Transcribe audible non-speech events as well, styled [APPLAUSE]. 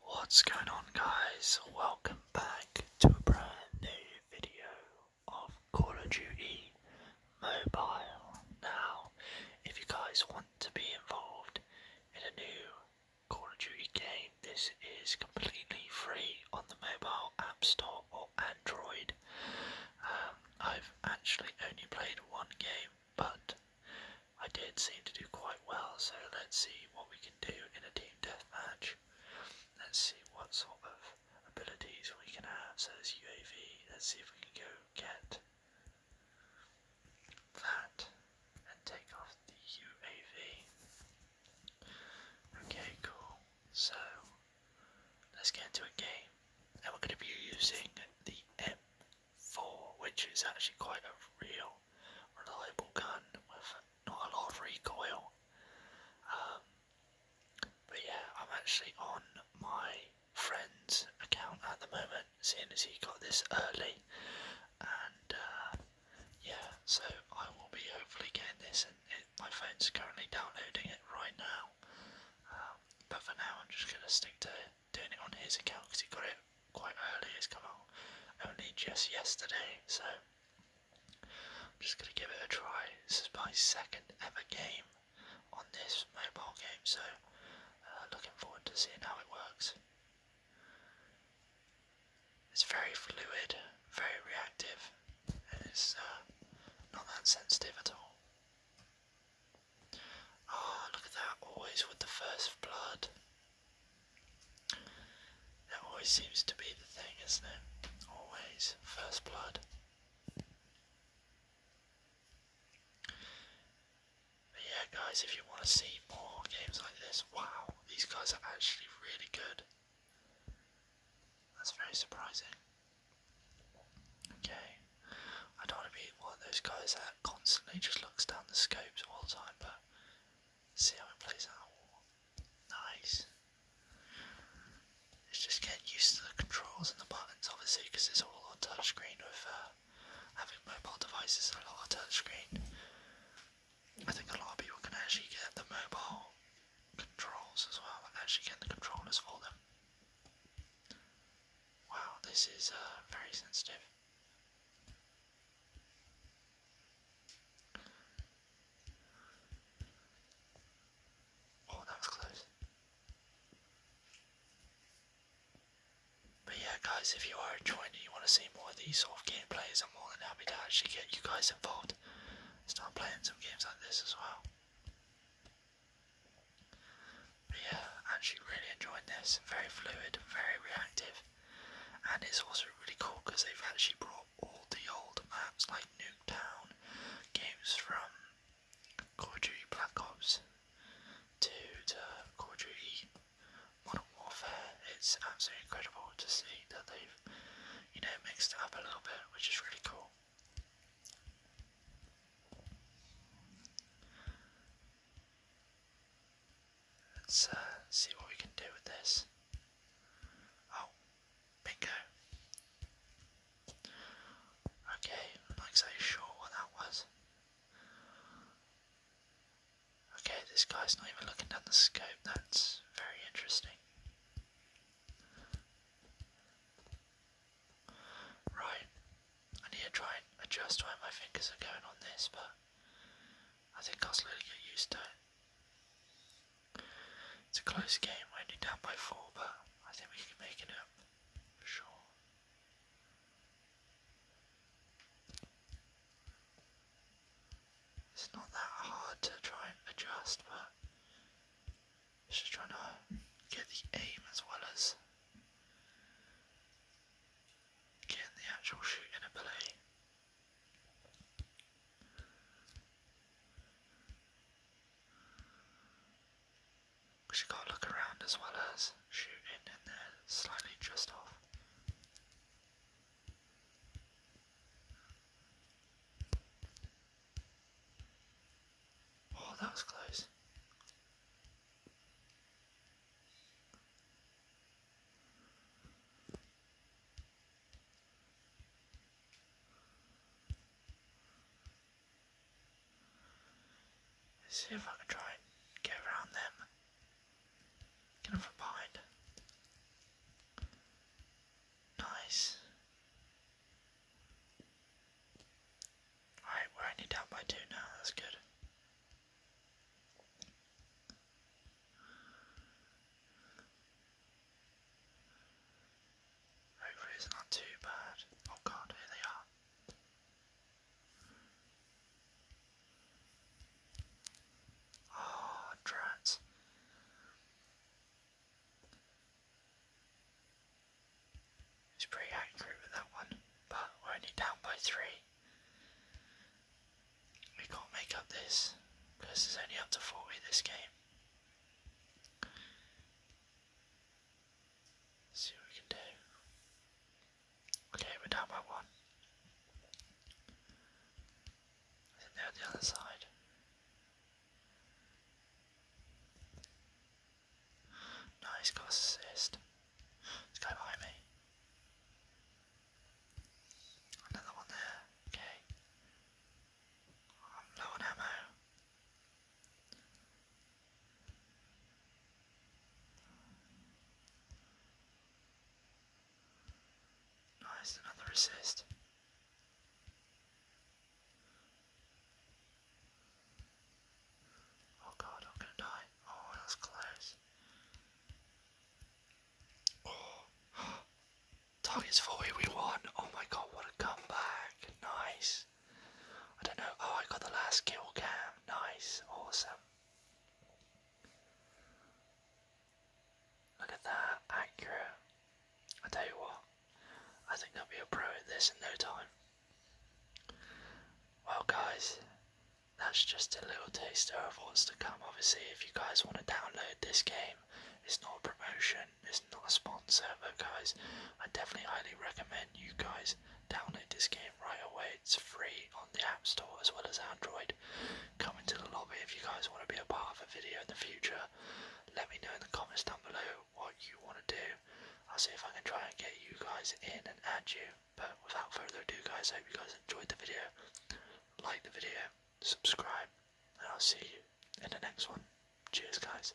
What's going on guys? Welcome back to a brand new video of Call of Duty Mobile. Now, if you guys want to be involved in a new Call of Duty game, this is completely free on the mobile app store or Android. Um, I've actually only played one game, but I did seem to do quite well, so let's see what we can do in a team deathmatch. Let's see what sort of abilities we can have. So as UAV, let's see if we can go get that and take off the UAV. Okay, cool. So let's get into a game. And we're going to be using the M. 4, which is actually quite a real reliable gun with not a lot of recoil. Um, but yeah, I'm actually on my friend's account at the moment, seeing as he got this early. And uh, yeah, so I will be hopefully getting this, and my phone's currently downloading it right now. Um, but for now, I'm just going to stick to doing it on his account because he got it quite early. It's come out only just yesterday, so I'm just gonna give it a try. This is my second ever game on this mobile game, so uh, looking forward to seeing how it works. It's very fluid, very reactive, and it's uh, not that sensitive at all. Oh, look at that, always with the first blood. That always seems to be the thing, isn't it? Always, first blood. But yeah, guys, if you want to see more games like this, wow, these guys are actually really good. That's very surprising. Okay. I don't want to be one of those guys that constantly just looks down the scopes all the time, but see how it plays out. Nice. It's just getting used to the controls and the buttons, obviously, because it's all on touchscreen with uh, having mobile devices and a lot of touchscreen. I think a lot of people can actually get the mobile controls as well and actually get the controllers for them. Wow, this is uh, very sensitive. Oh, that was close. But yeah, guys, if you are enjoying it, you want to see more of these sort of gameplays, I'm more than happy to actually get you guys involved. Start playing some games like this as well yeah, actually really enjoying this. Very fluid, very reactive, and it's also really cool because they've actually brought all the old maps like Nuketown games from Call of Duty Black Ops to the Call of Duty Modern Warfare. It's absolutely incredible to see that they've you know, mixed up a little bit, which is really cool. Let's uh, see what we can do with this. Oh, bingo. Okay, not exactly sure what that was. Okay, this guy's not even looking down the scope, that's very interesting. Right, I need to try and adjust where my fingers are going on this, but I think I'll slowly get used to it. It's a close game, we're only down by four, but I think we can make it up sure. It's not that hard to try and adjust, but it's just trying to get the aim as well as getting the actual shooting ability. Because you gotta look around as well as shooting and then slightly just off. Oh, that was close. see if I can try and get around them. Get him from Nice. Alright, we're only down by two now, that's good. Hopefully it's not too bad. Oh god, here they are. Oh, drats. He's pretty angry with that one, but we're only down by three. We can't make up this, because there's only up to 40 this game. see what we can do. Okay, we're down by one. I the other side. Nice, got assist. This guy behind me. Another one there. Okay. I'm um, low on ammo. Nice, oh, another assist. Oh god, I'm gonna die. Oh, that was close. Oh, [GASPS] target's 40, we won. Oh my god, what a comeback. Nice. I don't know. Oh, I got the last kill cam. Nice. Awesome. Look at that. Accurate. I tell you what, I think I'll be a pro at this in no time. Well, guys, that's just a little taster of what's to come. Obviously, if you guys want to download this game, it's not a promotion, it's not a sponsor, but guys, I definitely highly recommend you guys Download this game right away. It's free on the App Store as well as Android. Come into the lobby if you guys want to be a part of a video in the future. Let me know in the comments down below what you want to do. I'll see if I can try and get you guys in and add you. But without further ado, guys, I hope you guys enjoyed the video. Like the video, subscribe, and I'll see you in the next one. Cheers, guys.